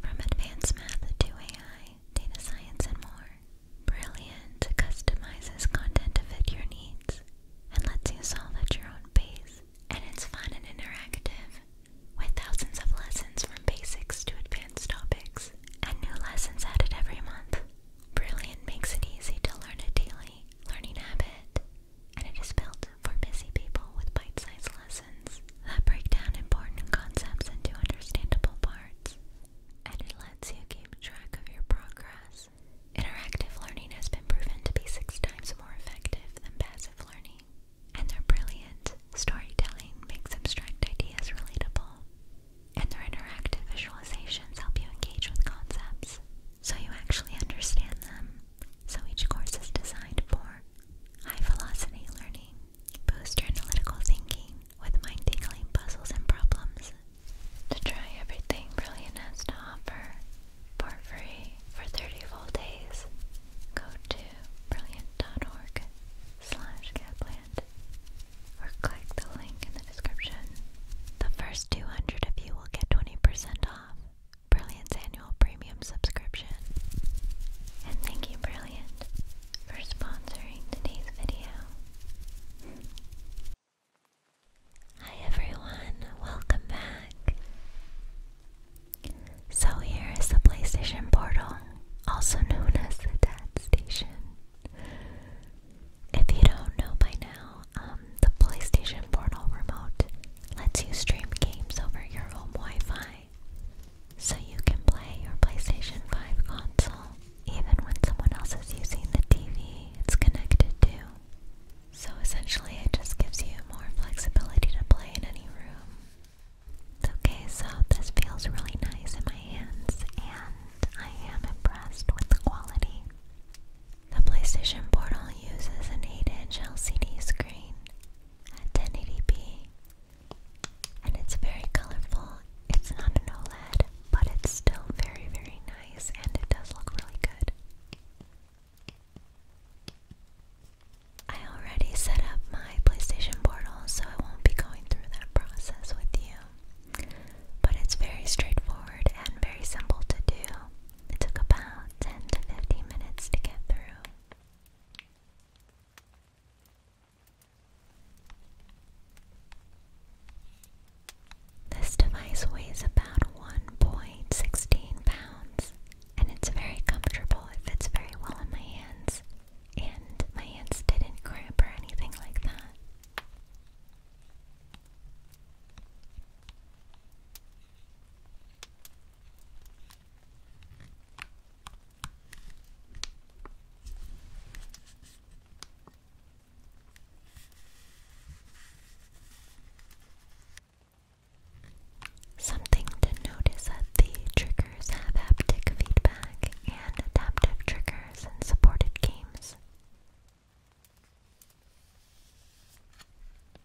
from advanced math to AI, data science, and more. Brilliant customizes content to fit your needs and lets you solve at your own pace. And it's fun and interactive, with thousands of lessons from basics to advanced topics, and new lessons added every month. Brilliant makes it easy to learn a daily learning habit, and it is built for busy people with bite-sized lessons that break down important concepts into understandable parts, and it lets you keep track of your progress. Interactive learning has been proven to be six times more effective than passive learning, and their brilliant storytelling makes abstract ideas relatable, and their interactive visualizations help you engage with concepts so you actually understand them. So each course is designed for High velocity learning boost your analytical thinking with mind tingling puzzles and problems. To try everything Brilliant has to offer for free for 30 full days, go to brilliant.org slash or click the link in the description. The first 200 of you will get 20% off. Brilliant's annual premium subscription. And thank you, Brilliant, for sponsoring today's video. Hi everyone, welcome back. So here is the PlayStation Portal, also known as the Dad Station. If you don't know by now, um, the PlayStation Portal remote lets you stream games over your home Wi-Fi so you can play your PlayStation 5 console even when someone else is using the TV it's connected to. So essentially it just gives you more flexibility to play in any room. Okay, so this feels really nice in my hands and I am impressed with the quality. The PlayStation Portal uses an 8-inch LCD screen at 1080p. And it's very colorful. It's not an OLED, but it's still very, very nice and it does look really good. I already set up my PlayStation Portal, so I won't be going through that process with you. But it's very straightforward and very simple to do. It took about 10 to 15 minutes to get through. This device weighs about 1.16 pounds and it's very comfortable. It fits very well in my hands, and my hands didn't cramp or anything like that. Something to notice that the triggers have haptic feedback and adaptive triggers in supported games.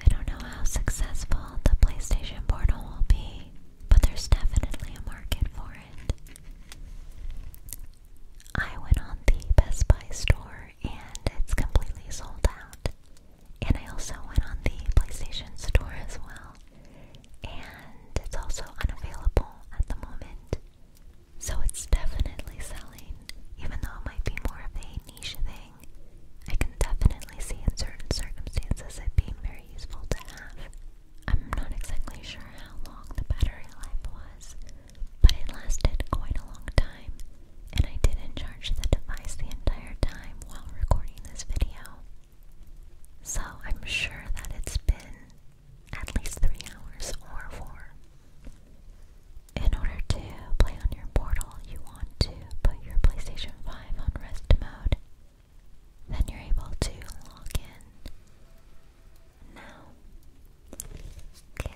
I don't know how successful the PlayStation Portal will be, but there's definitely a market for it. I went on the Best Buy store and it's completely sold out. And I also went on the PlayStation store as well, and it's also unavailable at the moment. So it's definitely selling, even though it might be more of a niche thing. I can definitely see in certain circumstances it being very useful to have. I'm not exactly sure how long the battery life was, but it lasted quite a long time, and I didn't charge the device the entire time while recording this video. So I'm sure that it's been at least three hours or four. In order to play on your portal, you want to put your PlayStation 5 on rest mode. Then you're able to log in. Now,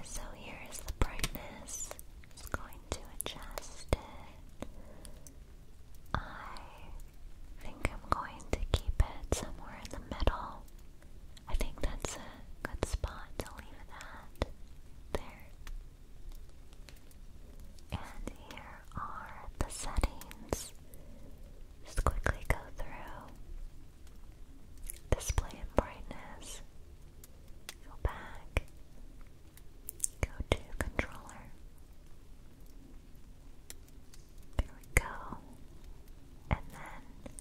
so here is the brightness. Just going to adjust it. I think I'm going to keep it somewhere in the middle. I think that's a good spot to leave it at. There. And here are the settings. Just quickly go through. Display and brightness. Go back. Go to controller. There we go. And then,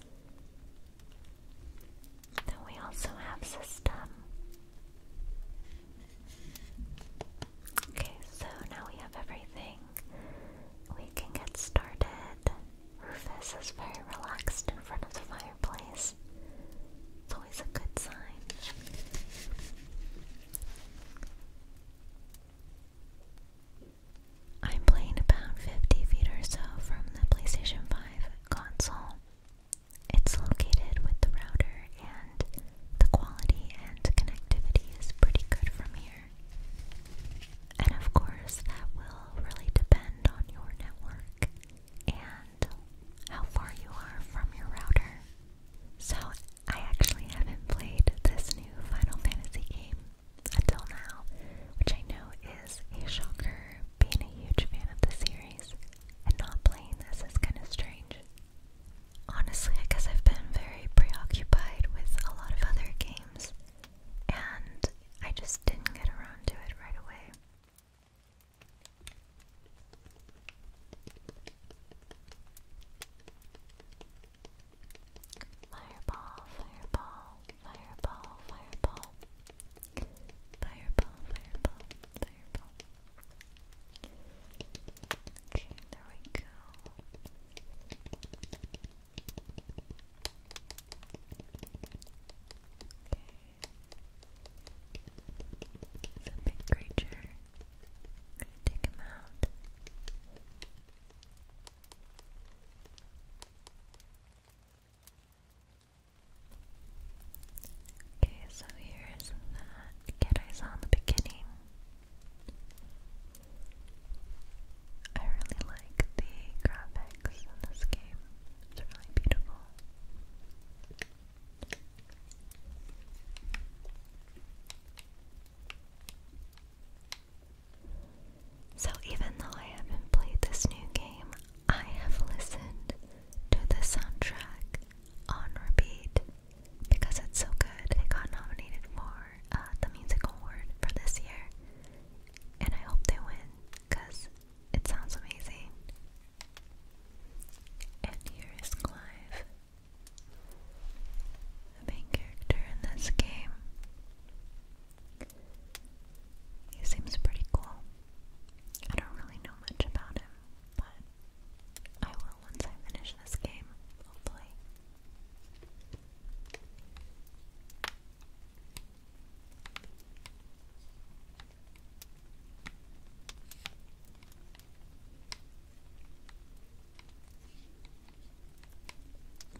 then we also have system. Okay, so now we have everything. We can get started. Rufus is very relaxed in front of the fireplace. It's always a good sign. I'm playing about 50 feet or so from the PlayStation 5 console. It's located with the router, and the quality and connectivity is pretty good from here. And of course, that will really depend on your network and how far you are from your router. So, I actually haven't played this new Final Fantasy game until now, which I know is a shocker being a huge fan of the series, and not playing this is kind of strange. Honestly, I guess I've been very preoccupied with a lot of other games, and I just didn't get around to it right away. Fireball, fireball, fireball, fireball. Fireball, fireball, fireball. Okay, there we go. Okay. It's a big creature. I'm gonna take him out. Okay. Okay, so here's that kid I saw in the beginning. I really like the graphics in this game. It's really beautiful. So, even though I haven't played this new game, I have listened to the soundtrack on repeat because it's so good. It got nominated for uh, the musical Award for this year, and I hope they win because it sounds amazing. And here is Clive, the main character in this game. He seems pretty cool. I don't really know much about him, but I will once I finish this game, hopefully.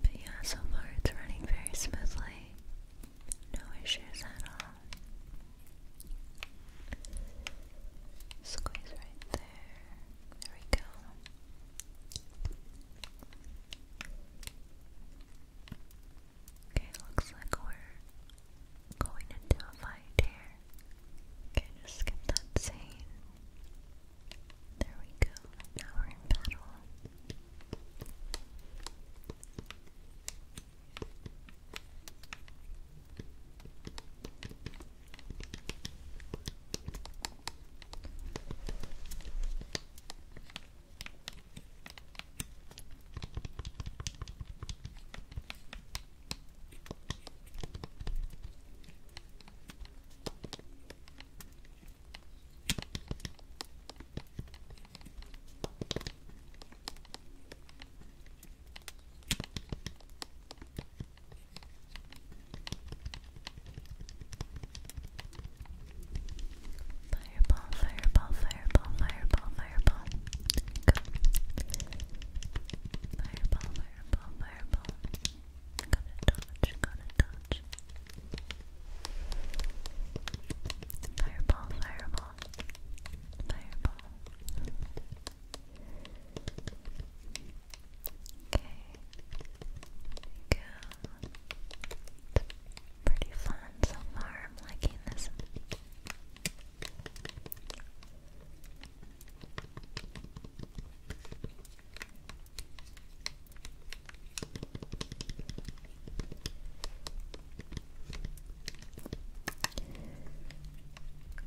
But yeah, so far it's running very smoothly. No issues at all. Squeeze right there. There we go. Okay, looks like we're going into a fight here. Okay, just skip that scene. There we go. Now we're in battle. Fireball, fireball, fireball, fireball, fireball. Go. Fireball, fireball, fireball. Gonna dodge, gonna dodge. Fireball, fireball, fireball. Okay, there you It's pretty fun so far. I'm liking this.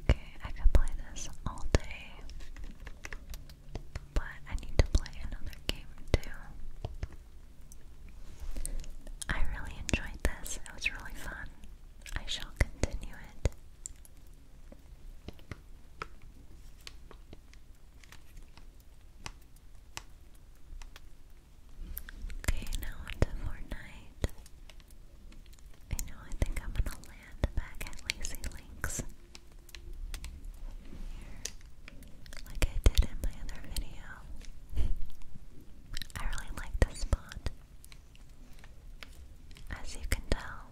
Okay, I could play this all day, but I need to play another game too. I really enjoyed this, it was really fun. I shall continue it. Okay, now onto Fortnite. I know, I think I'm gonna land back at Lazy Links. Like I did in my other video. I really like this spot. As you can tell,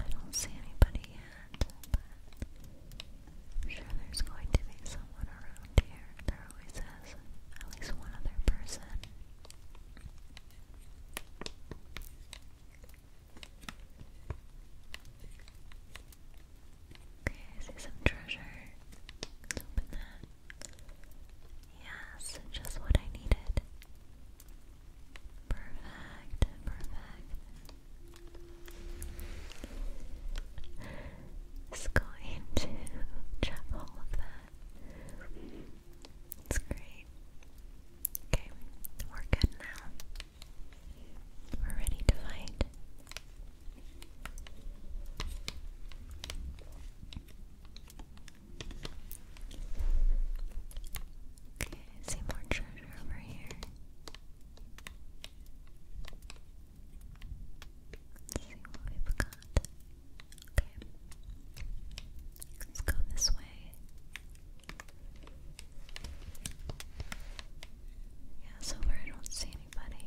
I don't see anybody yet, but I'm sure there's going to be someone around here. There always is at least one other person. Okay, I see some treasure. Let's open that. Yes, just what I needed. Perfect, perfect. It's going to trap all of that. It's great. Okay, we're good now. We're ready to fight. Okay, see more treasure over here. see what we've got. Okay. Let's go this way. Yeah, so far I don't see anybody.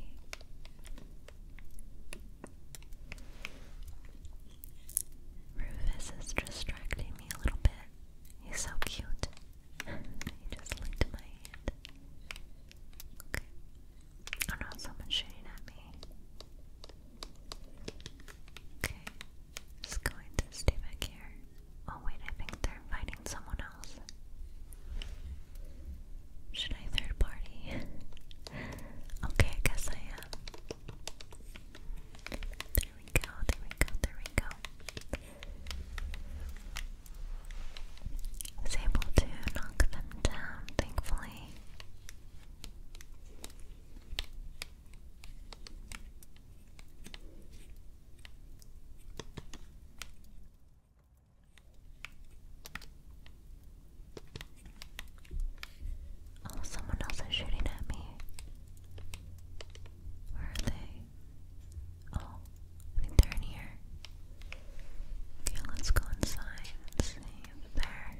Rufus is distracting me a little bit. He's so cute. he just licked my hand. Okay. Oh no, someone's shooting at me. Okay. Just going to stay back here. Oh wait, I think they're inviting someone else. Should I third party? okay, I guess I there we go, there we go, there we go. was able to knock them down, thankfully. Oh, someone else is shooting at me. Where are they? Oh, I think they're in here. Okay, let's go inside and see if they're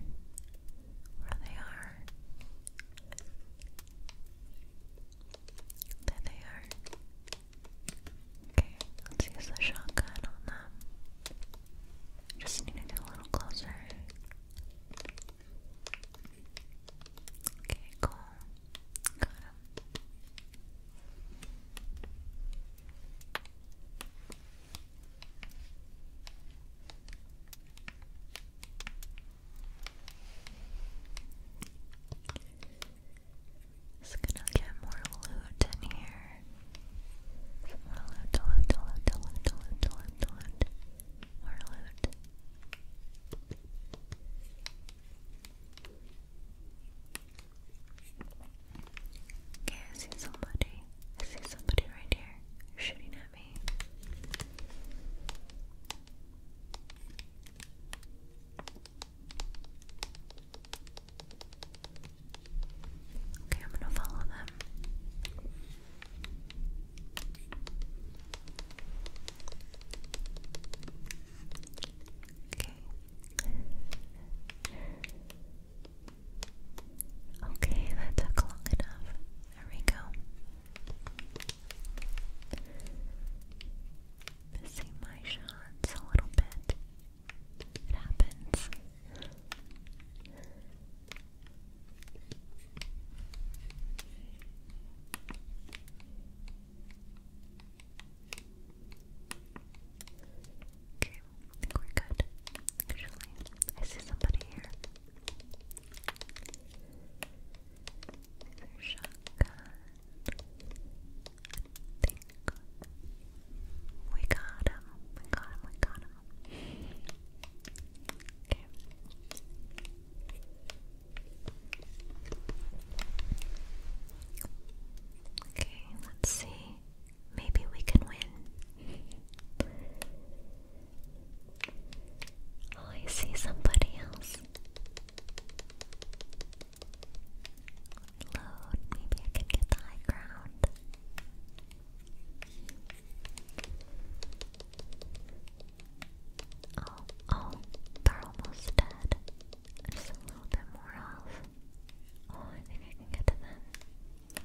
where they are. There they are. Okay, let's use the shotgun on them. Just need to get a little closer. Okay, cool. Got him. Just gonna get more loot in here. Marloot, loot, loot, Okay, I see somebody. I see somebody right here shooting at me. Okay, I'm gonna follow them. Okay. Okay, that took long enough. There we go. Missing my shots a little bit. It happens. Okay, I think we're good. Actually, I see somebody here. There's shotgun. I think we got him. We got him. We got him. Okay. Okay, let's see. Maybe we can win. Oh, I see somebody else. Load, maybe I can get the high ground. Oh, oh, they're almost dead. Just a little bit more off. Oh, I think I can get to them.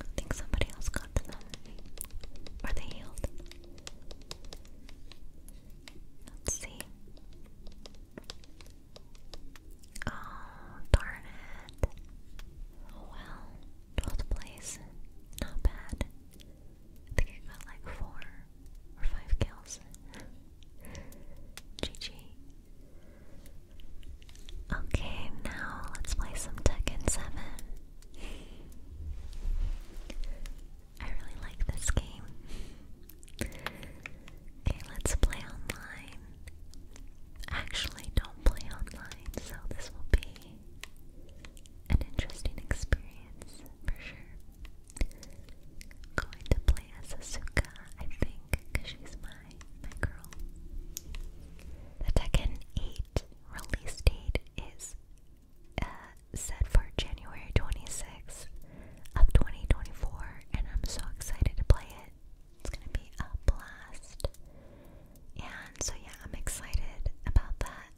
I think somebody else got to them. Are they healed? Let's see. Oh, darn it. well, 12th place. Not bad. I think I got like 4 or 5 kills. GG. Okay, now let's play some Tekken 7. I really like this game. Okay, let's play online actually don't play online, so this will be an interesting experience for sure. Going to play as Asuka, I think, because she's my my girl. The Tekken 8 release date is uh, set for January 26th of 2024, and I'm so excited to play it. It's gonna be a blast. And so, yeah, I'm excited about that.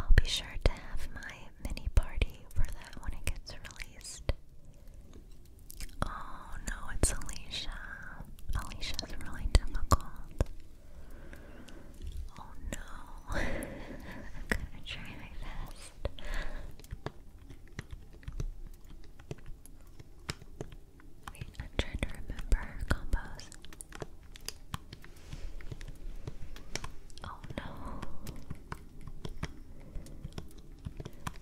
I'll be sure to have my mini party for that when it gets released. Oh no, it's Alicia. Alicia's really difficult. Oh no. I'm gonna try my best. I'm trying to remember combos. Oh no.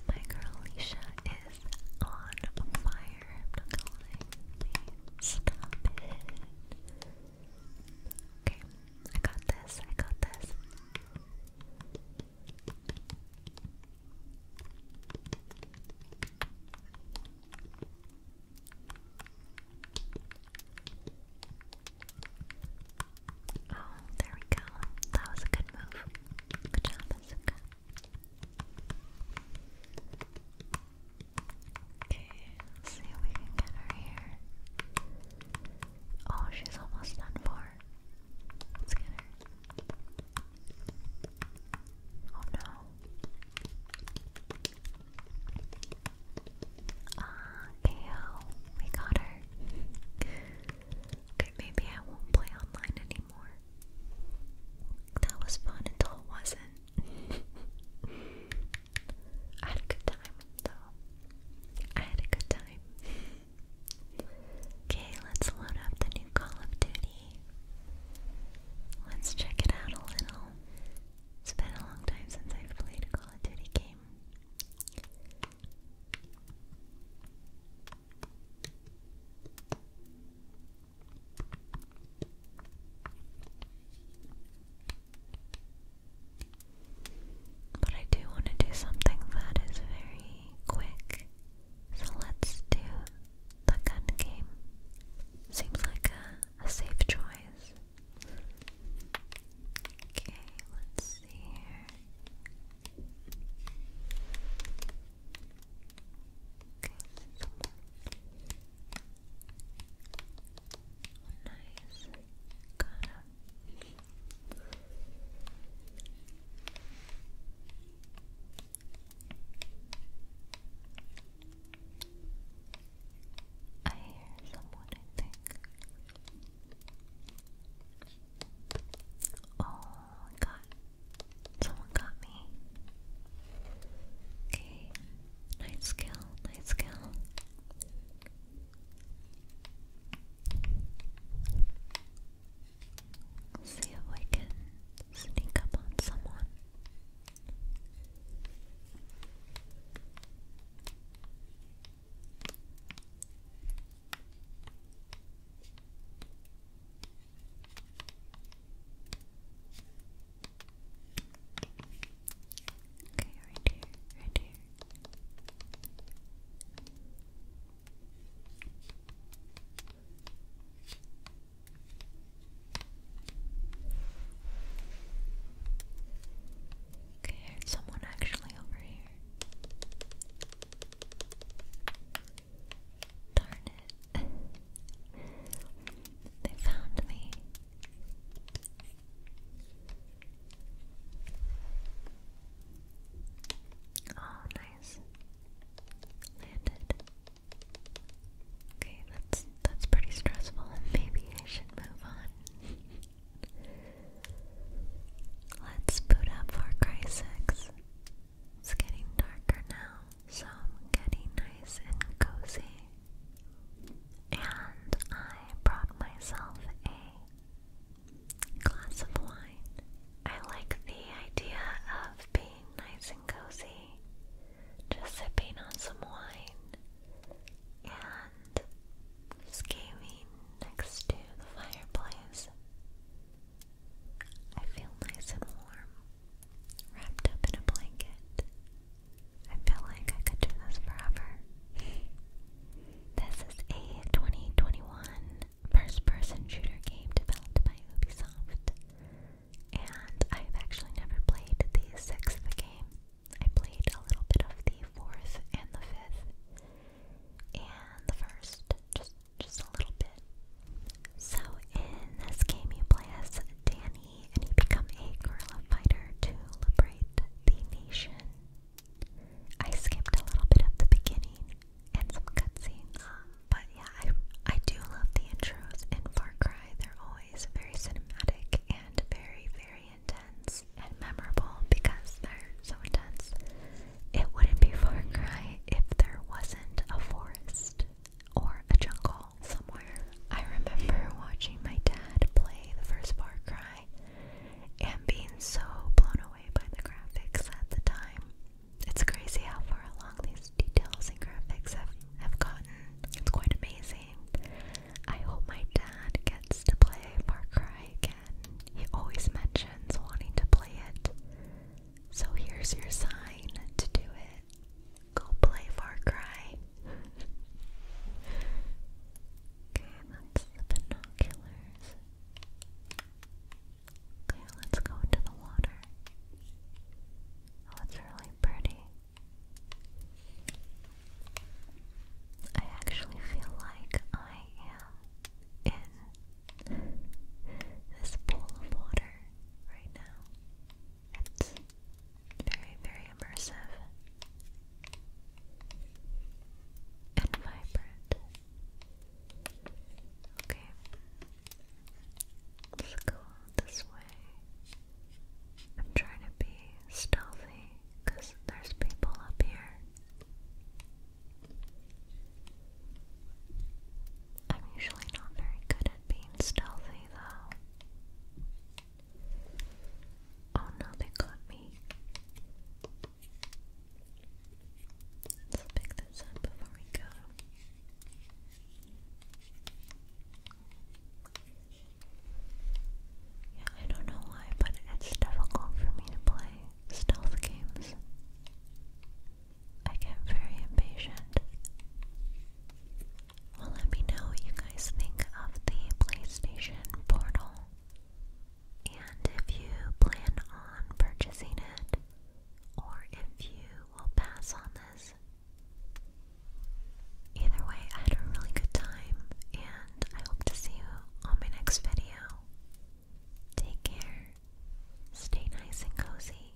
My girl Alicia is on fire. I'm not gonna Stop it. Okay, I got this. I got this. Oh, there we go. That was a good move. Good job, Azuka. Okay, see if we can get her here. Oh, she's almost done for. Let's get her. Oh no. Ah, uh, KO. We got her. Okay, maybe I won't play online anymore. That was fun until it wasn't. I had a good time, though. I had a good time. Okay, let's load up the new Call of Duty. Let's check it out a little. It's been a long time since I've played a Call of Duty game. But I do want to do something that is very quick. So let's do the gun game seems like a, a safe choice. Okay, let's see here. Okay, nice. I hear someone, I think. Oh, God. Someone got me. Okay. Nice kill, nice kill. Let's see if we can sneak up on someone. Okay, right here, right here. Okay, I someone actually over here. Darn it. they found me. Oh, nice. Landed. Okay, that's that's pretty stressful. Maybe I should move on. Let's boot up for cry It's getting darker now, so getting nice and cozy. And I brought myself a glass of wine. I like the idea of being nice and cozy, just sipping on some wine and just next to the fireplace. I feel nice and warm, wrapped up in a blanket. I feel like I could do this forever. This is a 2021 first person shooter game developed by Ubisoft. And I've actually never played the sixth game. I played a little bit of the fourth and the fifth. And the first, just just a little bit. So in this game you play as Danny and you become a guerrilla fighter to liberate the nation. I skipped a little bit at the beginning and some cutscenes. But yeah, I, I do love the intros in Far Cry. They're always very cinematic and very, very intense and memorable because they're so intense. It wouldn't be Far Cry if there wasn't a forest or a jungle somewhere. I remember watching my dad play the first Far Cry and being so blown away by the graphics at the time. It's crazy how far along these details and graphics have, have gotten. It's quite amazing. I hope my dad gets to play Far Cry again. He always mentions wanting to play it. So here's your sign to do it. Go play Far Cry. okay, that's the binoculars. Okay, let's go into the water. Oh, it's really pretty. I actually feel like I am in this pool of water right now. It's very, very immersive and vibrant. Okay, Let's go this way. I'm trying to be stealthy because there's people up here. I'm usually not very good at being stealthy though. Oh no, they got me. Let's pick this up before we go. Yeah, I don't know why, but it's difficult for me to play stealth games. I get very impatient. Well, let me know what you guys think of the PlayStation Portal. And if you plan on purchasing it, or if you will pass on this. Either way, I had a really good time, and I hope to see you on my next video. Take care, stay nice and cozy.